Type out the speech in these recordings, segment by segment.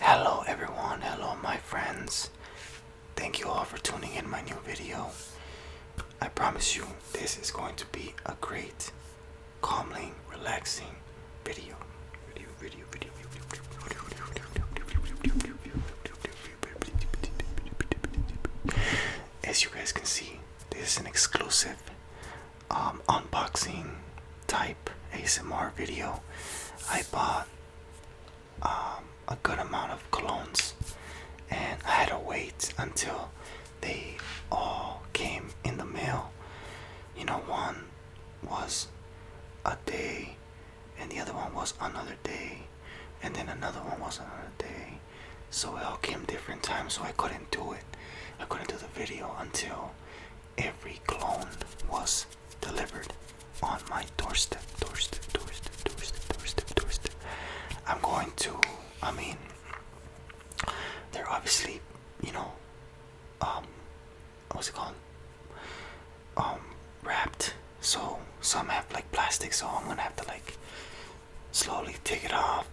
Hello everyone, hello my friends. Thank you all for tuning in my new video. I promise you this is going to be a great, calming, relaxing video. As you guys can see, this is an exclusive um, unboxing type ASMR video, I bought um, a good amount of colognes and I had to wait until they all came in the mail. You know, one was a day, and the other one was another day, and then another one was another day. So it all came different times, so I couldn't do it. I couldn't do the video until every clone was delivered on my doorstep, doorstep, doorstep, doorstep, doorstep, doorstep. I'm going to, I mean, they're obviously, you know, um, what's it called? Um, wrapped. So some have like plastic, so I'm gonna have to like slowly take it off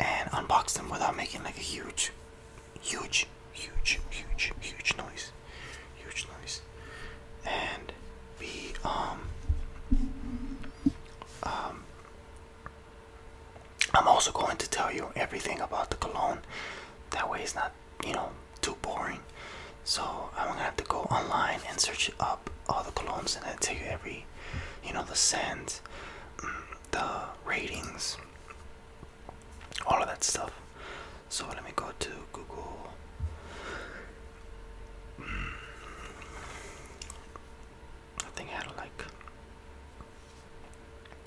and unbox them without making like a huge huge, huge, huge, huge noise, huge noise, and we um um. I'm also going to tell you everything about the cologne. That way, it's not you know too boring. So I'm gonna have to go online and search up all the colognes, and I tell you every, you know, the scent, mm, the ratings, all of that stuff. So let me go to Google. Mm. I think I had like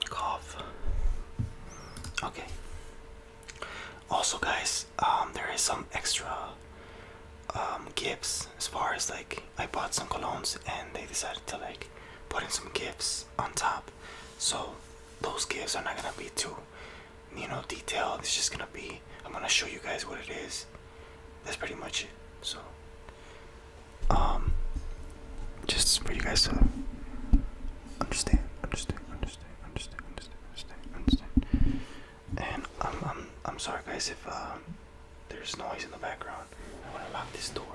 cough. Okay. Also, guys, um, there is some extra um, gifts as far as like I bought some colognes and they decided to like put in some gifts on top. So those gifts are not gonna be too, you know, detailed. It's just gonna be, I'm gonna show you guys what it is. That's pretty much it. So, um, just for you guys to understand, understand, understand, understand, understand, understand, understand. And I'm, I'm, I'm sorry, guys, if uh, there's noise in the background. I wanna lock this door.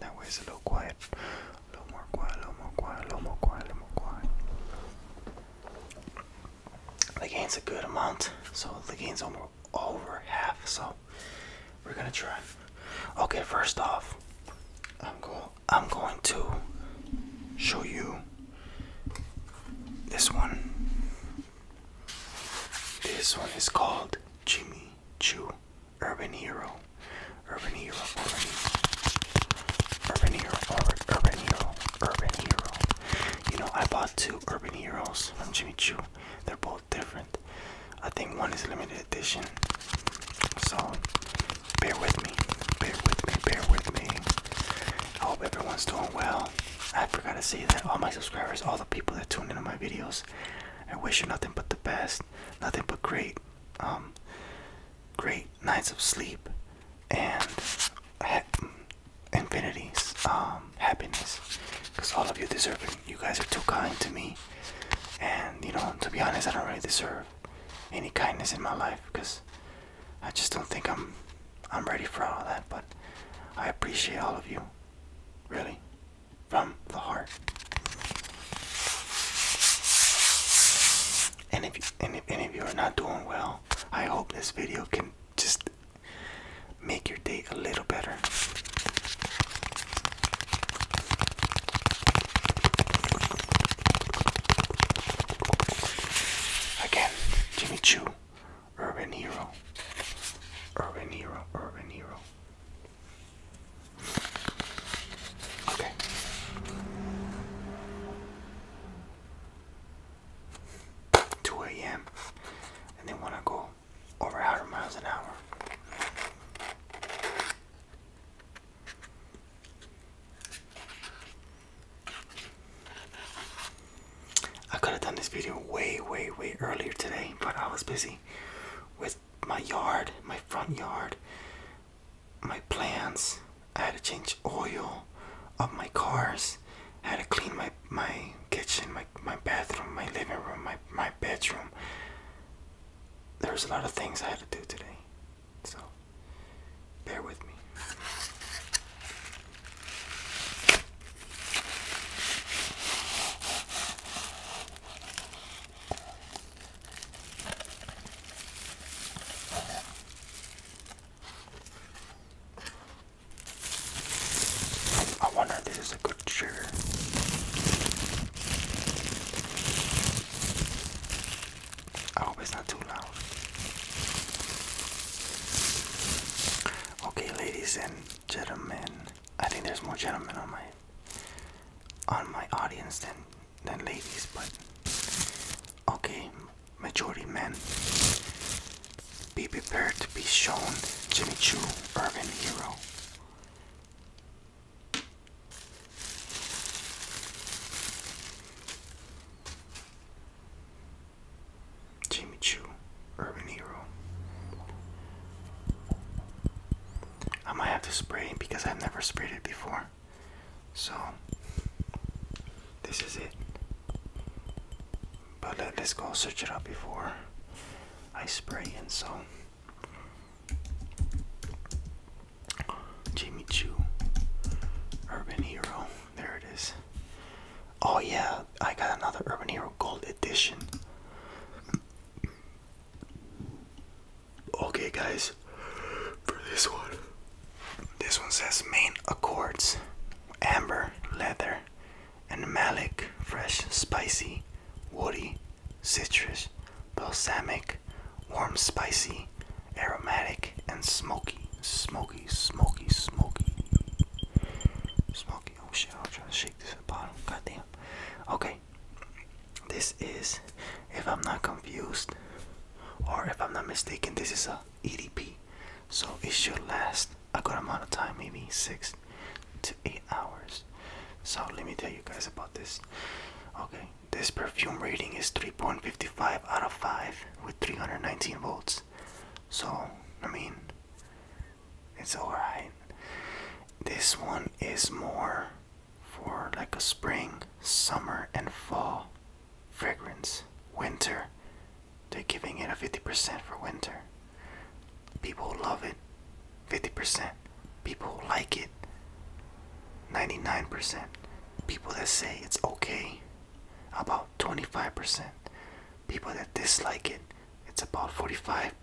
That way it's a little quiet. A little more quiet, a little more quiet, a little more quiet, a little more quiet. The gain's a good amount, so the gain's almost over half, so we're gonna try. Okay, first off, I'm going I'm going to show you this one this one is called Jimmy Chu, Urban Hero. Urban Hero, Urban Hero, Urban Hero, Urban Hero, You know, I bought two Urban Heroes from Jimmy Chu. They're both different. I think one is limited edition. So, bear with me, bear with me, bear with me. I hope everyone's doing well. I forgot to say that all my subscribers, all the people that tune into my videos, I wish you nothing but the best, nothing but great, um, great nights of sleep, and infinities, um, happiness, because all of you deserve it. You guys are too kind to me, and you know, to be honest, I don't really deserve any kindness in my life, because I just don't think I'm, I'm ready for all that. But I appreciate all of you. Really? From the heart. And if, any of you are not doing well, I hope this video can just make your day a little better. Again, Jimmy Choo Urban Hero. Urban Hero. Urban Hero. Okay. Two AM and they wanna go over hundred miles an hour. I could have done this video way, way, way earlier today, but I was busy with my yard, my front yard, my plants. I had to change oil of my cars. I had to clean my, my kitchen, my, my bathroom, my living room, my, my bedroom. was a lot of things I had to do today. So, bear with me. I wonder if this is a good chair. I hope it's not too loud. Okay, ladies and gentlemen. I think there's more gentlemen on my on my audience than than ladies, but okay, majority men. Be prepared to be shown Jimmy Choo, urban hero. Jimmy Choo, Urban Hero. I might have to spray because I've never sprayed it before. So, this is it. But let, us go search it up before I spray and so. Jimmy Choo, Urban Hero. There it is. Oh yeah, I got another Urban Hero Gold Edition. Okay, guys, for this one, this one says main accords amber, leather, and malic, fresh, spicy, woody, citrus, balsamic, warm, spicy, aromatic, and smoky, smoky, smoky, smoky, smoky. Oh shit, I'm trying to shake this at Goddamn. Okay. This is, if I'm not confused or if I'm not mistaken, this is a EDP. So it should last a good amount of time, maybe six to eight hours. So let me tell you guys about this. Okay, this perfume rating is 3.55 out of 5 with 319 volts. So, I mean, it's alright. This one is more for like a spring, summer, and fall fragrance. Winter, they're giving it a 50% for winter. People love it. 50%. People like it. 99%. People that say it's okay. About 25% people that dislike it it's about 45%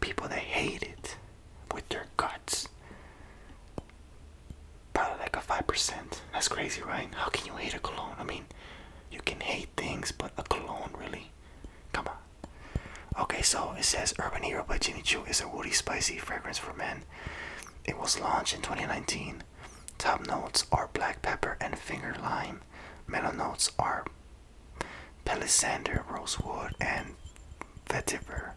people that hate it with their guts probably like a 5% that's crazy right how can you hate a cologne i mean you can hate things but a cologne really come on okay so it says urban hero by jimmy choo is a woody spicy fragrance for men it was launched in 2019 top notes are black pepper and finger lime time. notes are palisander, rosewood, and vetiver.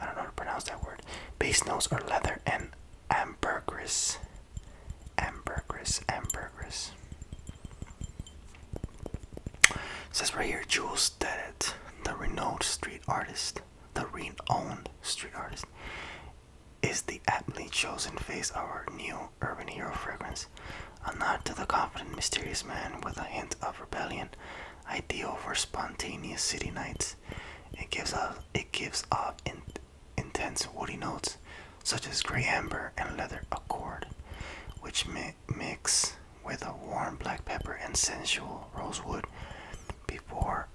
I don't know how to pronounce that word. Base notes are leather and ambergris. Ambergris, ambergris. says right here, Jules Dedet, the renowned street artist, the renowned street artist, is the aptly chosen face of our new urban hero fragrance? A nod to the confident, mysterious man with a hint of rebellion, ideal for spontaneous city nights. It gives off it gives off intense woody notes, such as gray amber and leather accord, which mix with a warm black pepper and sensual rosewood, before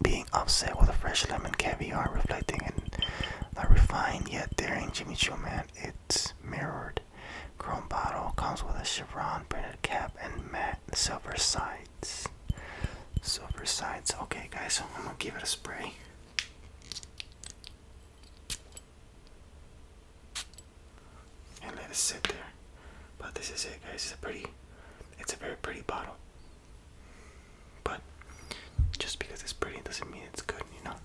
being offset with a fresh lemon caviar, reflecting an not refined yet daring Jimmy Choo Man, it's mirrored. Chrome bottle comes with a chevron printed cap and matte silver sides. Silver sides. Okay, guys, I'm gonna give it a spray. And let it sit there. But this is it, guys. It's a pretty, it's a very pretty bottle. But just because it's pretty doesn't mean it's good, you know?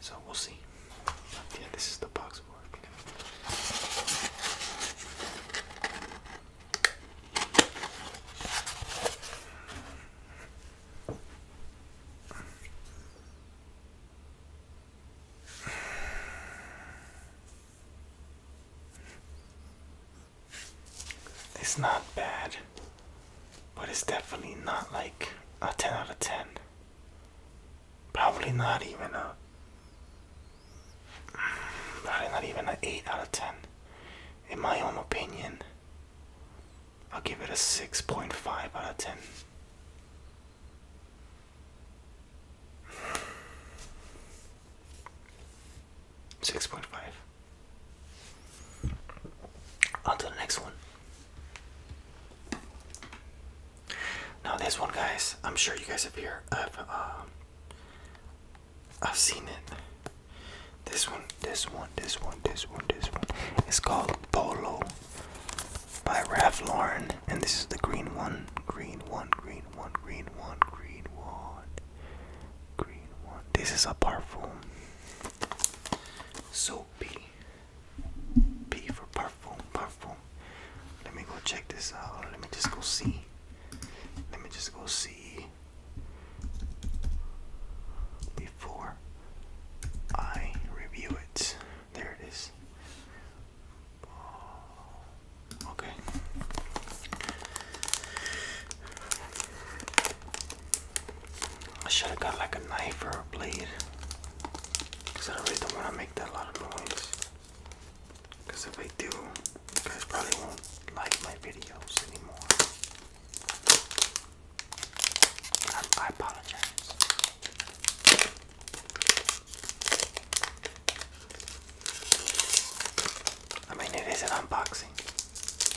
So we'll see. Yeah, this is the box of work. It's not bad, but it's definitely not like a 10 out of 10. Probably not even a. Probably not even an 8 out of 10. In my own opinion, I'll give it a 6.5 out of 10. 6.5. On to the next one. Now this one, guys, I'm sure you guys have here. I've, um, I've seen it. This one, this one, this one, this one, this one. It's called Polo by Ralph Lauren, and this is the green one. Green one, green one, green one, green one, green one. This is a perfume. So P. P for perfume, perfume. Let me go check this out. Let me just go see. Let me just go see. Before I review it. There it is. Oh, okay. I should have got like a knife or a blade. Because I really don't want to make that lot of noise. Because if I do, you guys probably won't like my videos anymore. I, apologize. I mean, it is an unboxing.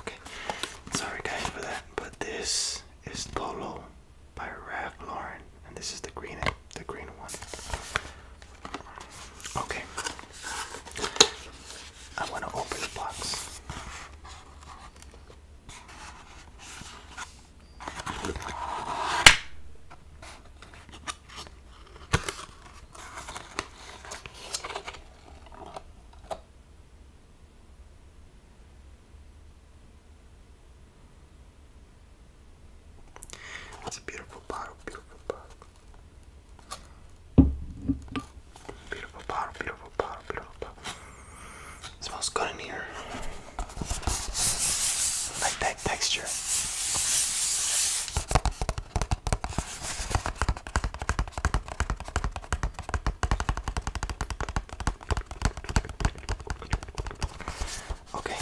Okay, sorry guys for that, but this is Polo by Ralph Lauren, and this is the green, the green one. Okay, I want to open the box. It's a beautiful bottle, beautiful bottle. Beautiful bottle, beautiful bottle, beautiful bottle. It smells good in here. like that texture. Okay. Okay.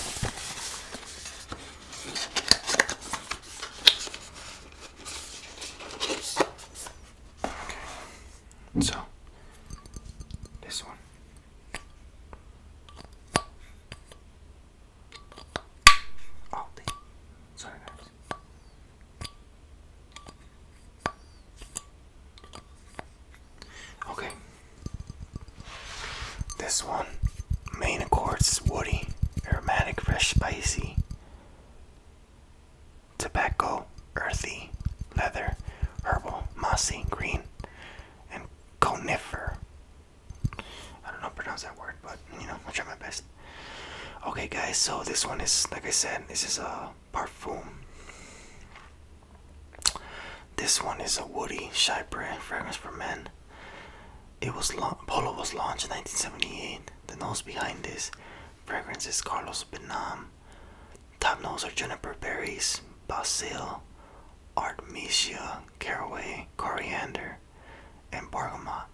So this one. Aldi. Sorry Okay. This one, main accords woody, aromatic, fresh, spicy, tobacco, earthy, leather, herbal, mossy, green, and conifer. I don't know how to pronounce that word, but you know, I'll try my best. Okay, guys, so this one is, like I said, this is a Parfum. This one is a woody Chypre fragrance for men. It was Polo was launched in 1978. The nose behind this fragrance is Carlos Benam. Top notes are juniper berries, basil, artemisia, caraway, coriander, and bergamot.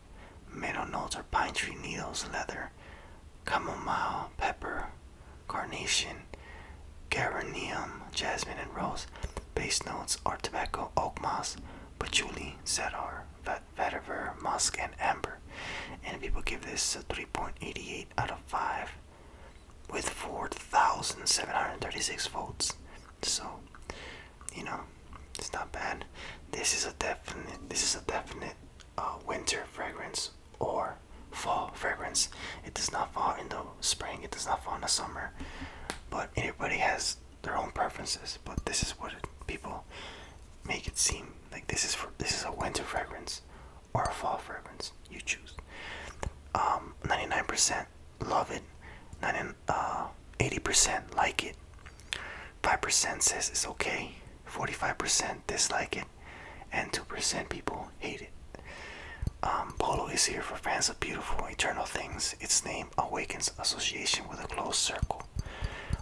Middle notes are pine tree needles, leather, chamomile, pepper, carnation, geranium, jasmine, and rose. Base notes are tobacco, oak moss, patchouli, cedar, vetiver, musk, and amber. And people give this a 3.88 out of 5 with 4,736 votes. So, you know, it's not bad. This is a definite, this is a definite uh, winter fragrance or fall fragrance. It does not fall in the spring, it does not fall in the summer. But everybody has their own preferences. But this is what people make it seem like this is for this is a winter fragrance or a fall fragrance. You choose. Um, 99% love it. 90, uh, 80% like it. 5% says it's okay. 45% dislike it and 2% people hate it. Um, Polo is here for fans of beautiful, eternal things. Its name awakens association with a closed circle.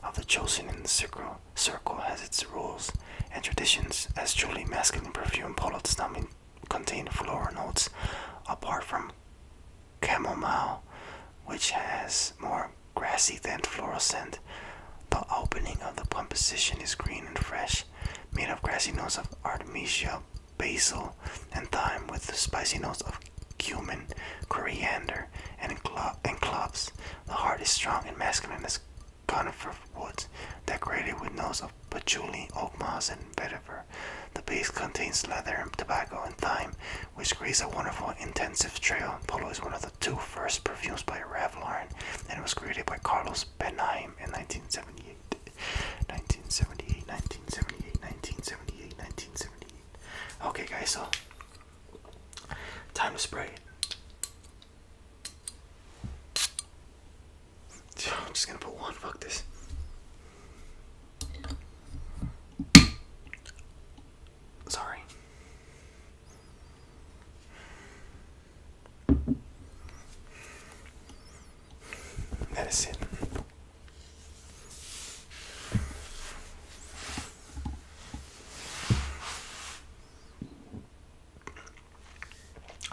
Of the chosen in the circle, has its rules and traditions. As truly masculine perfume, Polo does not contain floral notes apart from chamomile, which has more grassy then fluorescent. The opening of the composition is green and fresh, made of grassy notes of artemisia, basil, and thyme, with the spicy notes of cumin, coriander, and cloves. The heart is strong and masculine as conifer woods, decorated with notes of patchouli, oak moss, and vetiver. The base contains leather, tobacco, and thyme, which creates a wonderful intensive trail. Polo is one of the two first perfumes by Revlon, and it was created by Carlos Benaim in 1978. 1978, 1978, 1978, 1978. Okay, guys, so time to spray it. I'm just gonna put one, fuck this. Sorry. That is it.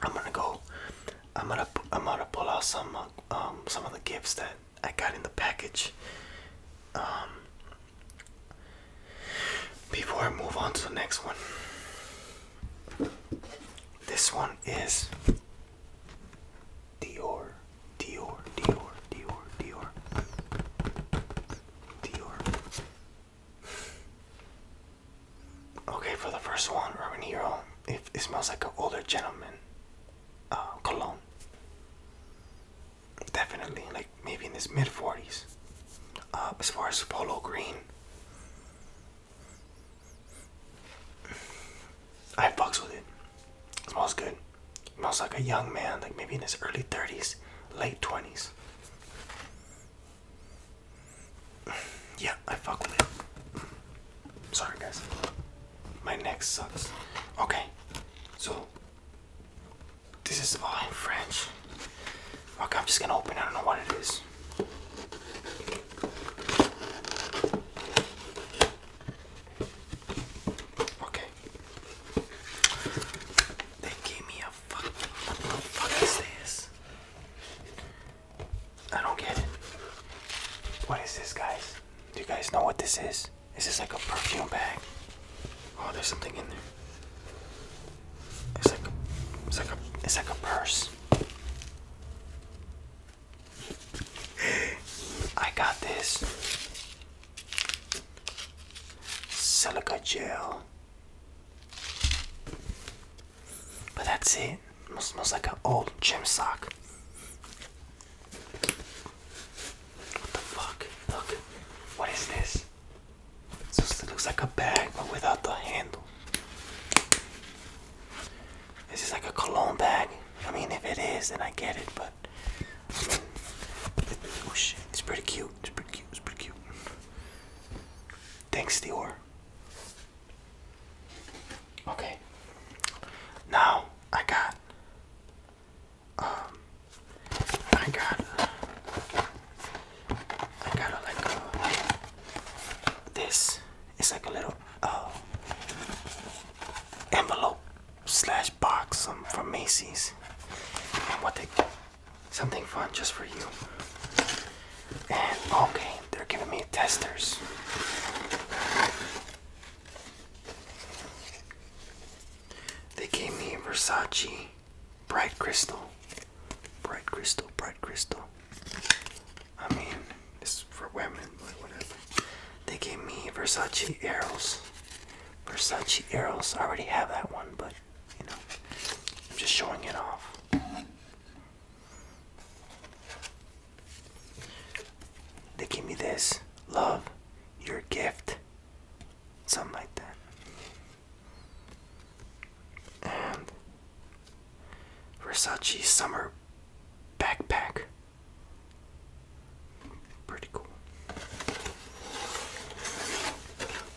I'm gonna go. I'm gonna. I'm gonna pull out some uh, um some of the gifts that I got in the package. Um, before I move on to the next one, this one is Dior, Dior, Dior, Dior, Dior, Dior. Okay, for the first one, Urban it, smells like an older gentleman uh, cologne definitely like maybe in his mid 40s. Uh, as far as Polo Green, I fucks with it. Smells good. smells like a young man, like maybe in his early 30s, late 20s. Yeah, I fuck with it. Sorry, guys. My neck sucks. Okay, so this is all in French. Okay, I'm just gonna open I don't know what it is. Okay. They gave me a fucking. What the fuck is this? I don't get it. What is this, guys? Do you guys know what this is? This Is like a perfume bag? Oh, there's something in there. It's like a, it's like a, it's like a purse. I got this silica gel, but that's it. it smells like an old gym sock. What the fuck? Look, what is this? It just looks like a bag but without the handle. This is like a cologne bag. I mean, if it is, then I get it, but. oh shit, it's pretty cute. It's pretty cute. It's pretty cute. Thanks, Dior. Okay. Now, I got um, I got, I got a, like this. It's like a little uh, envelope slash box from Macy's. And what they, something fun just for you. And okay, they're giving me testers. They gave me Versace bright crystal, bright crystal, bright crystal. I mean, this is for women, but whatever. They gave me Versace arrows. Versace arrows. I already have that one, but you know, I'm just showing it off. They gave me this. Love your gift. Something like that and Versace summer backpack. Pretty cool.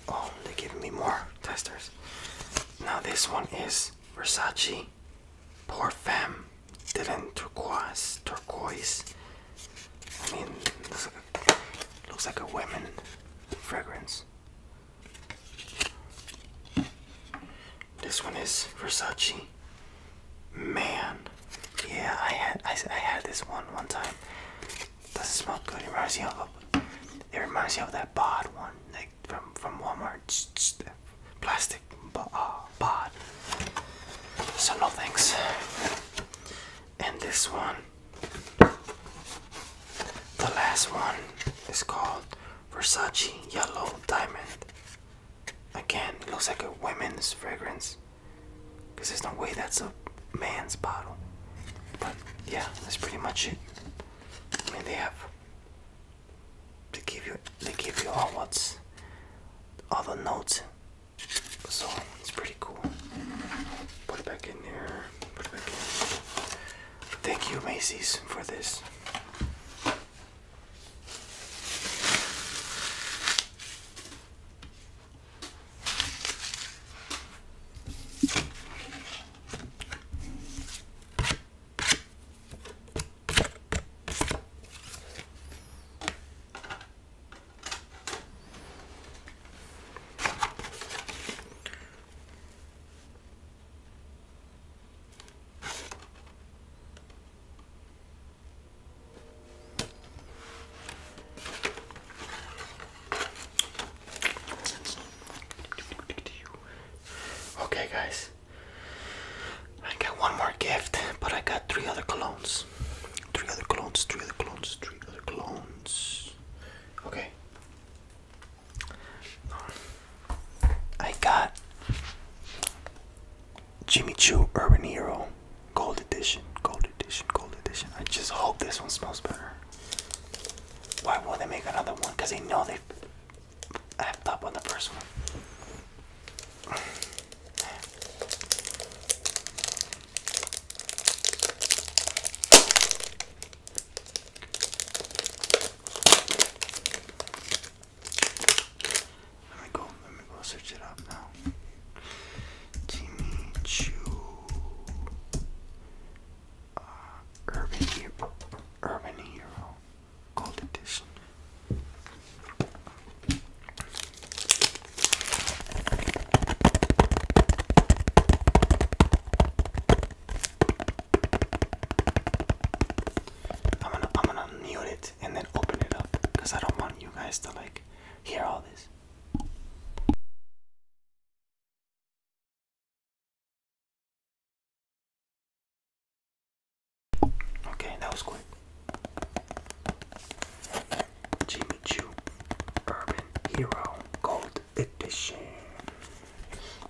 Oh, they give me more testers. Now this one is Versace Parfum Dylan Turquoise Turquoise. I mean, Looks like a women fragrance. This one is Versace. Man, yeah, I had I, had this one one time. Doesn't smell good. It reminds me of it reminds me of that bod one, like from from Walmart, plastic uh, bod. Uh, so no thanks. And this one the last one is called Versace Yellow Diamond. Again, looks like a women's fragrance. Because there's no way that's a man's bottle. But yeah, that's pretty much it. I mean, they have. They give you. They give you all what's. All the notes so it's pretty cool. Put it back in there. Thank you, Macy's, for this. Okay, guys, I got one more gift, but I got three other colognes. Three other colognes, three other colognes, three other colognes. Okay. I got Jimmy Choo Urban Hero Gold Edition, Gold Edition, Gold Edition. I just hope this one smells better. Why will they make another one? Because they know they effed up on the first one. Let me go, let me go search it up now. Jimmy Choo uh, Urban Hero Urban Hero Gold Edition. I'm gonna I'm gonna mute it and then open it up because I don't want you guys to like hear all this. Okay, that was quick. Jimmy Choo Urban Hero Gold Edition.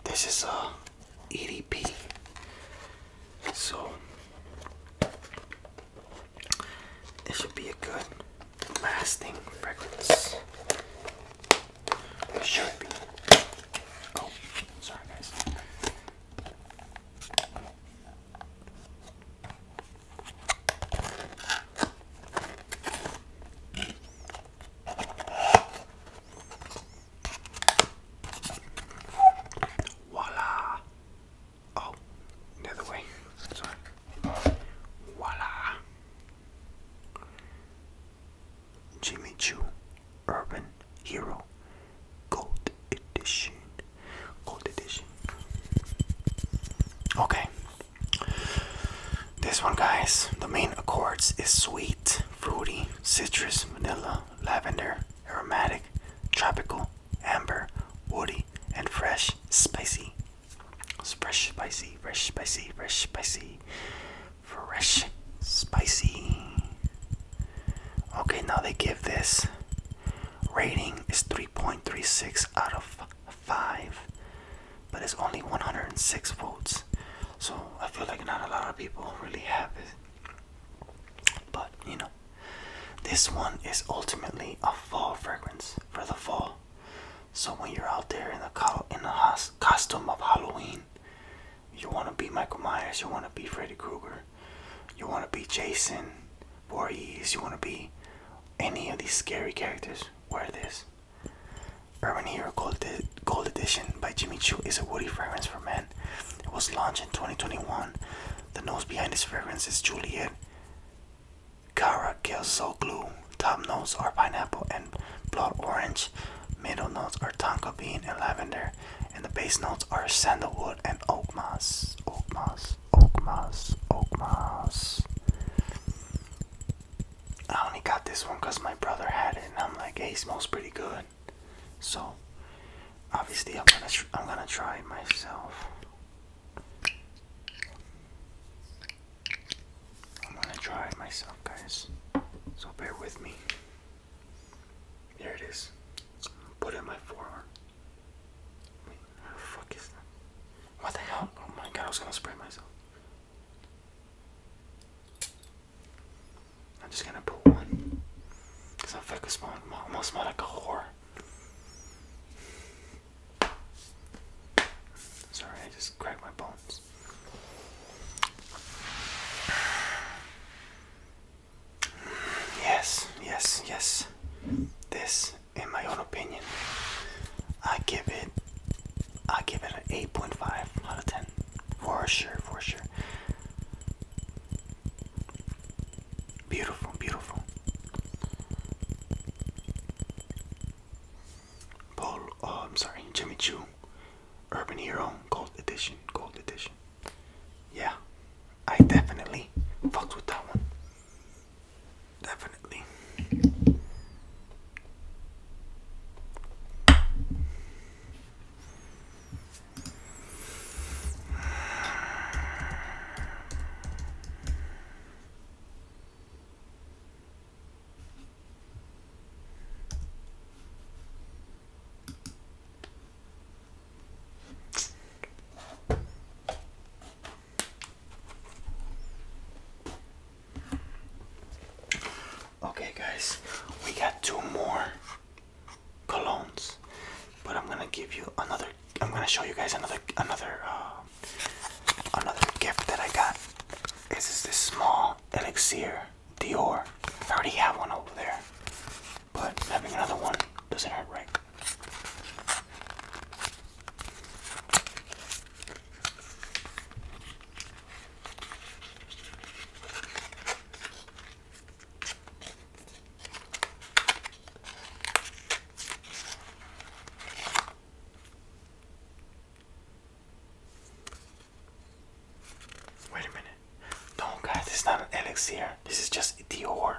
This is a EDP. So it should be a good lasting fragrance. should be. Oh, sorry guys. Voila! Oh, the way. Sorry. Voila! Jimmy Choo Urban Hero Gold Edition. Gold Edition. Okay, this one, guys, the main accords is sweet, fruity, citrus, vanilla, lavender, aromatic, tropical, amber, woody, and fresh, spicy. Fresh, spicy, fresh, spicy, fresh, spicy, fresh, spicy. Okay, now they give this rating is 3.36 out of 5 but it's only 106 votes so i feel like not a lot of people really have it but you know this one is ultimately a fall fragrance for the fall so when you're out there in the co in the costume of halloween you want to be michael myers you want to be freddy krueger you want to be jason warriors, you want to be any of these scary characters, wear this. Urban Hero Gold, Gold Edition by Jimmy Choo is a woody fragrance for men. It was launched in 2021. The nose behind this fragrance is Juliet Cara Glue. Top notes are pineapple and blood orange. Middle notes are tonka bean and lavender. And the base notes are sandalwood and oak moss. Oak moss. Oakmas, Oakmas. I only got this one because my brother had it, and I'm like, hey, it smells pretty good. So, obviously, I'm gonna I'm gonna try it myself. I'm gonna try it myself, guys. So bear with me. There it is. Put it in my forearm. Wait, how the fuck is that? What the hell? Oh my god, I was gonna spray myself. I'm just gonna put one. Because I'm fucking smelling almost smell like a whore. Sorry, I just cracked my bones. Yes, yes, yes. This in my own opinion. I give it I give it an 8.5 out of 10. For sure, for sure. Beautiful, beautiful. Paul, oh, I'm sorry, Jimmy Choo, Urban Hero, Gold Edition, Gold Edition. Yeah, I definitely fucked with that one. Definitely. Okay, guys, we got two more colognes, but I'm gonna give you another. I'm gonna show you guys another another uh, another gift that I got. This is this small elixir Dior. I already have one over there, but having another one doesn't hurt, right? Wait a minute. No, guys, it's not an elixir. This is just Dior.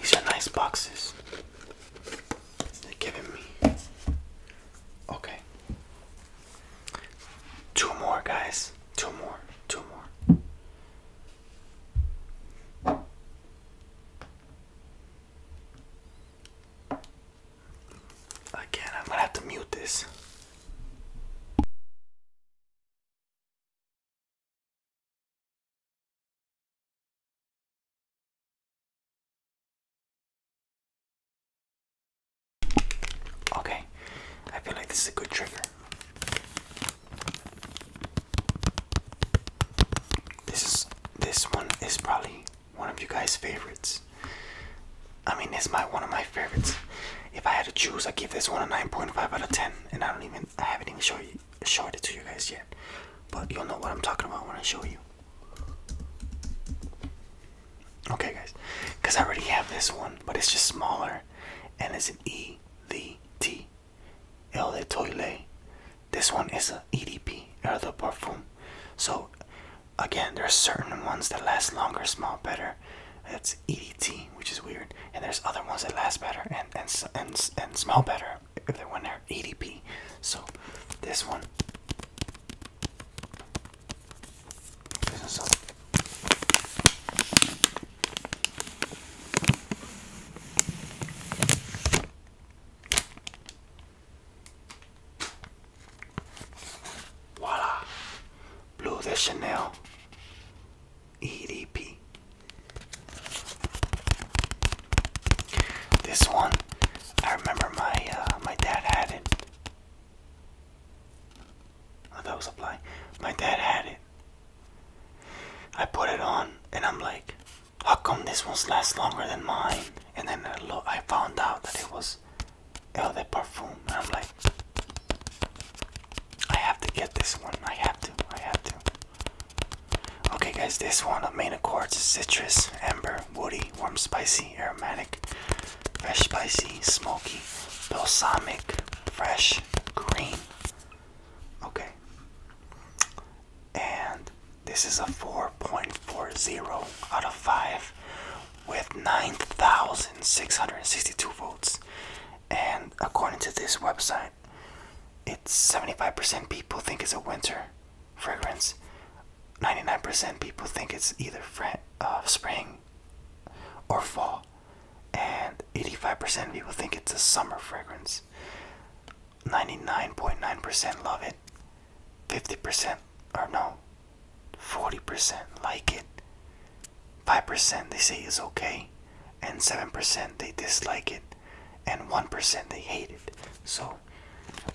These are nice boxes. They're giving me. Okay. Two more, guys. Two more. Two more. Again, I'm gonna have to mute this. Okay, I feel like this is a good trigger. This this one is probably one of you guys' favorites. I mean, it's my one of my favorites. If I had to choose, I give this one a 9.5 out of 10, and I don't even I haven't even showed it to you guys yet. But you'll know what I'm talking about when I show you. Okay, guys, because I already have this one, but it's just smaller, and it's an E D T El de Toile. This one is a EDP El de Parfum. So again, there are certain ones that last longer, smell better, It's EDT, which is weird. And there's other ones that last better and and and, and smell better if they're when they're EDP. So this one. Voila! Blue de Chanel EDP. This one, I remember my uh, my dad had it. Oh, that was a blind. My dad had it. I put it on, and I'm like, "How come this one's lasts longer than mine?" And then I, lo I found out that it was Oh, eau perfume! I'm like I have to get this one. I have to. I have to. Okay guys, this one the main accords citrus, amber, woody, warm spicy, aromatic, fresh spicy, smoky, balsamic, fresh, green. Okay. And this is a 4.40 out of 5 with 9,662 votes. And according to this website, it's 75% people think it's a winter fragrance. 99% people think it's either uh, spring or fall. And 85% people think it's a summer fragrance. 99.9% percent love it. 50% are no, 40% like it, 5% they say is okay, and 7% they dislike it, and 1% they hate it. So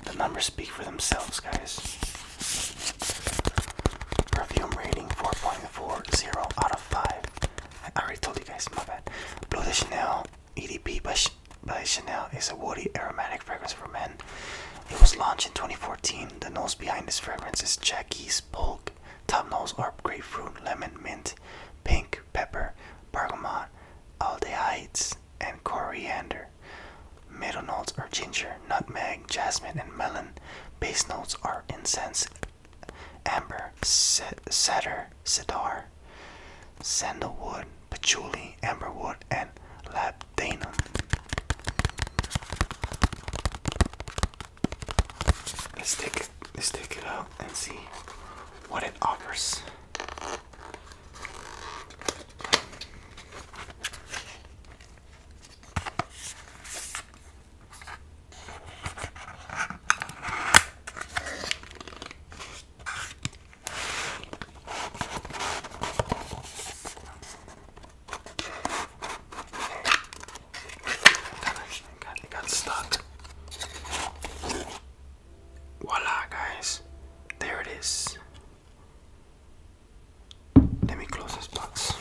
the numbers speak for themselves, guys. Perfume rating 4.40 out of 5. I already told you guys, my bad. Bleu de Chanel EDP by, Ch by Chanel is a woody aromatic fragrance for men. It was launched in 2014. The nose behind this fragrance is Jackie's Polk. Top notes are grapefruit, lemon, mint, pink pepper, bergamot, aldehydes, and coriander. Middle notes are ginger, nutmeg, jasmine, and melon. Base notes are incense, amber, cedar, cedar, sandalwood, patchouli, amberwood, and labdanum. Let's take it, let's take it out and see what it offers. That actually got, it got stuck. Voila, guys. There it is. Let me close this box.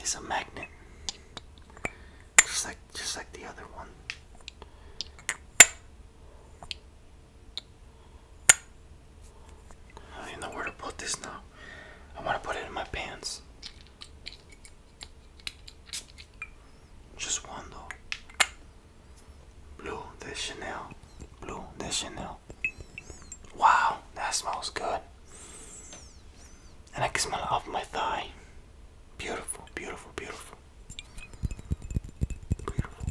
It's a magnet. Just like just like the other one. I don't know where to put this now. I want to put it in my pants. Just one though. Blue, this Chanel. Blue, this Chanel. Wow, that smells good. And I can smell off my thigh. Beautiful, beautiful, beautiful. Beautiful.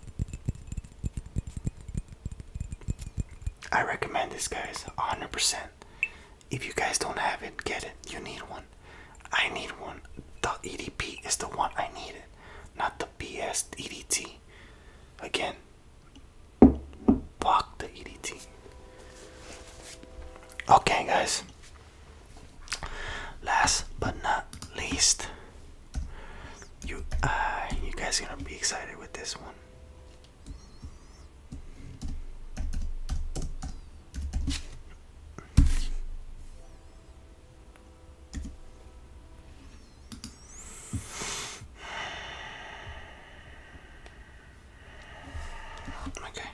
I recommend this, guys, 100%. If you guys don't have it, get it. You need one. I need one. The EDP is the one I needed, not the BS EDT. Again, block the EDT. Okay, guys. Last but not least, you uh, you guys are gonna be excited with this one. Okay.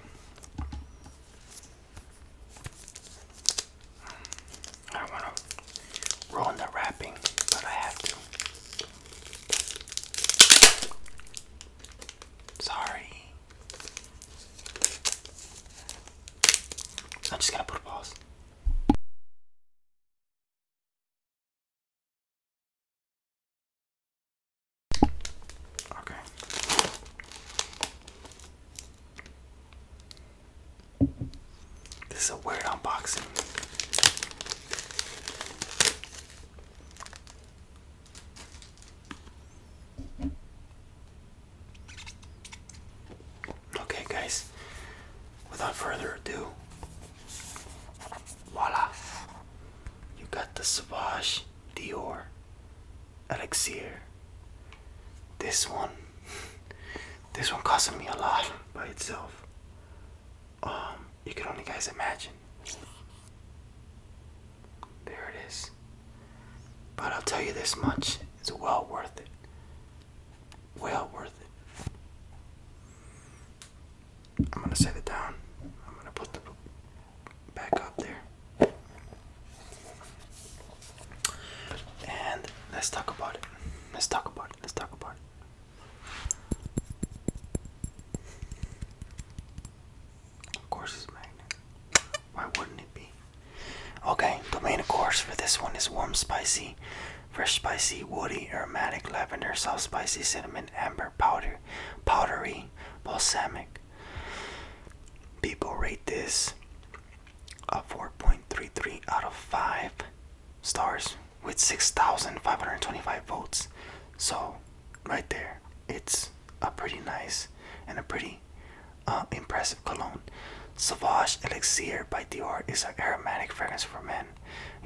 I don't want to ruin the wrapping, but I have to. Sorry. I'm just gonna put a pause. Okay. This is a weird unboxing. Okay, guys, without further ado, voila! You got the Sauvage Dior Elixir. This one, this one costs me a lot by itself. Um, you can only guys imagine. There it is. But I'll tell you this much, it's well worth it. Well worth it. I'm gonna set it down. I'm gonna put the back up there. And let's talk about it. Let's talk about it. Let's talk about it. Of course, it's magnet. Why wouldn't it be? Okay, the main course for this one is warm, spicy, fresh, spicy, woody, aromatic, lavender, soft, spicy, cinnamon, amber, powder, powdery, balsamic. People rate this a 4.33 out of 5 stars with 6,525 votes. So, right there, it's a pretty nice and a pretty uh, impressive cologne. Savage Elixir by Dior is an aromatic fragrance for men.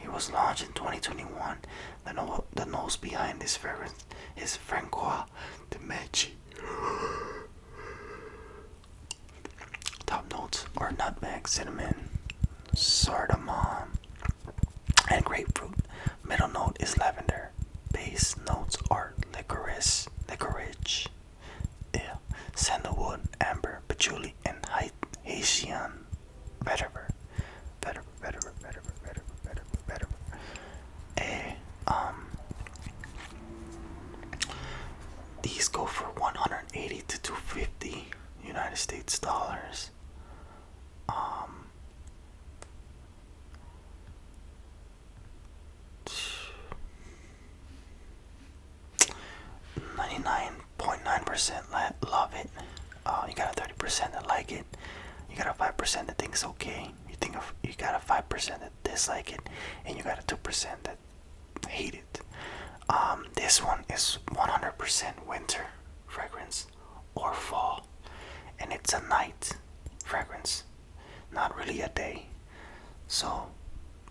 It was launched in 2021. The, nose behind this fragrance is Francois de Medici. Top notes are nutmeg, cinnamon, sardamom, and grapefruit. Middle note is lavender. Base notes are licorice, licorice, yeah. Sandalwood, amber, patchouli, and Haitian vetiver. Vetiver, vetiver, vetiver, vetiver, vetiver, vetiver. A, eh, um, these go for 180 to 250 United States dollars. Um, 99.9% love it. Uh, you got a 30% that like it. You got a 5% that thinks okay. You think you got a 5% that dislike it, and you got a 2% that hate it. Um, this one is 100% winter fragrance or fall, and it's a night fragrance, not really a day. So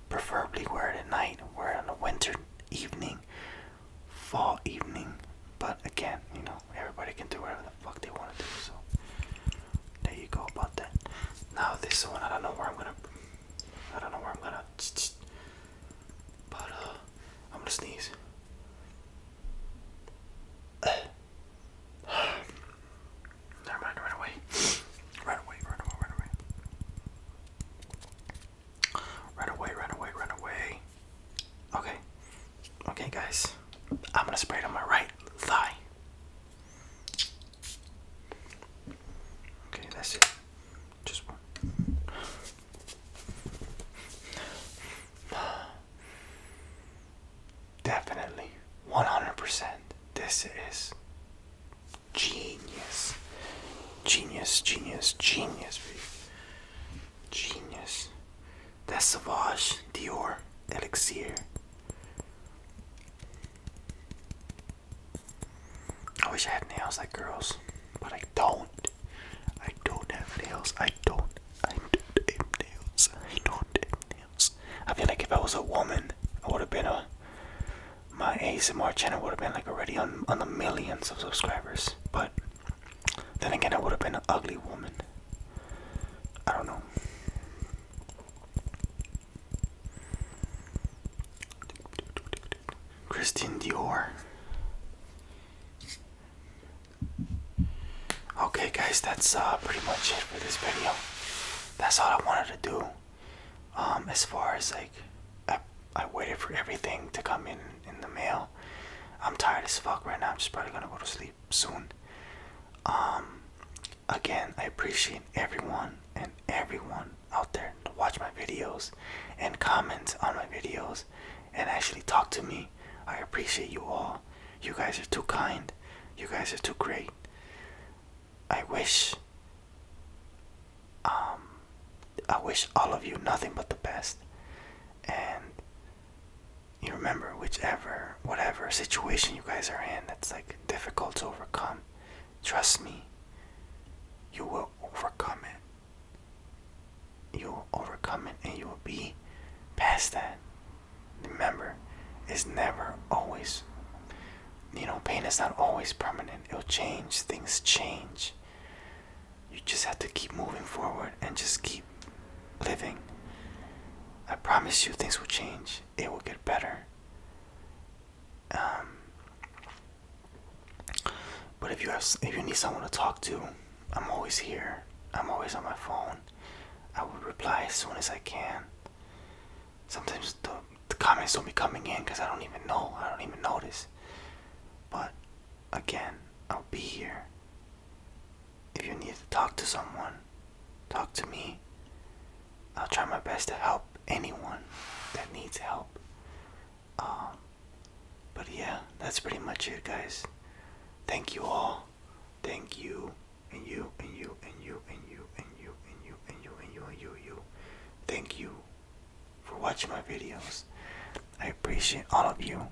preferably wear it at night, wear it on a winter evening, fall evening. But again, you know, everybody can do whatever the fuck they want to do. So there you go about that. Now this one, I don't know where I'm gonna, I don't know where I'm gonna, but uh, I'm gonna sneeze. Never mind, right away. Right away, right away, right away. Right away, right away, right away. Okay. Okay, guys. I'm gonna spray it on my right thigh. Okay, that's it. Just one. Definitely 100%. This is genius. Genius, genius, genius. Genius. That's Savage Dior Elixir. I wish I had nails like girls, but I don't. I don't have nails. I don't. I don't have nails. I don't have nails. I feel like if I was a woman, I would have been a my ASMR channel would have been like already on, on the millions of subscribers. But then again, it would have been an ugly woman. I don't know. Christian Dior. Okay, guys, that's uh, pretty much it for this video. That's all I wanted to do. Um, as far as like, I, I waited for everything to come in in the mail. I'm tired as fuck right now. I'm just probably gonna go to sleep soon. Um, again, I appreciate everyone and everyone out there to watch my videos and comment on my videos and actually talk to me. I appreciate you all. You guys are too kind. You guys are too great. I wish um I wish all of you nothing but the best and you remember whichever whatever situation you guys are in that's like difficult to overcome trust me you will overcome it you will overcome it and you will be past that remember it's never always you know, pain is not always permanent. It'll change. Things change. You just have to keep moving forward and just keep living. I promise you, things will change. It will get better. Um, but if you have, if you need someone to talk to, I'm always here. I'm always on my phone. I will reply as soon as I can sometimes the, the comments don't be coming in because I don't even know. I don't even notice. But again, I'll be here. If you need to talk to someone, talk to me. I'll try my best to help anyone that needs help. Um, but yeah, that's pretty much it, guys. Thank you all. Thank you, and you, and you, and you, and you and you and you and you and you and you you. Thank you for watching my videos. I appreciate all of you.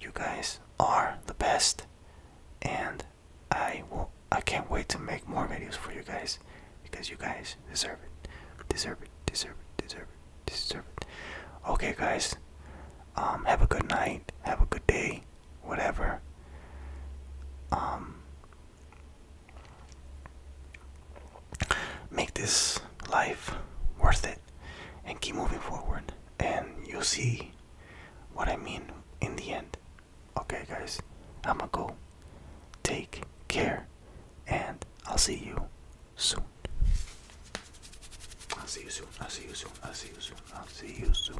You guys are the best and I will I can't wait to make more videos for you guys because you guys deserve it. Deserve it. Deserve it. Deserve it. Deserve it. Okay guys. Um have a good night. Have a good day. Whatever. Um make this life worth it and keep moving forward and you'll see what i mean in the end okay guys i'ma go take care and i'll see you soon i'll see you soon i'll see you soon i'll see you soon i'll see you soon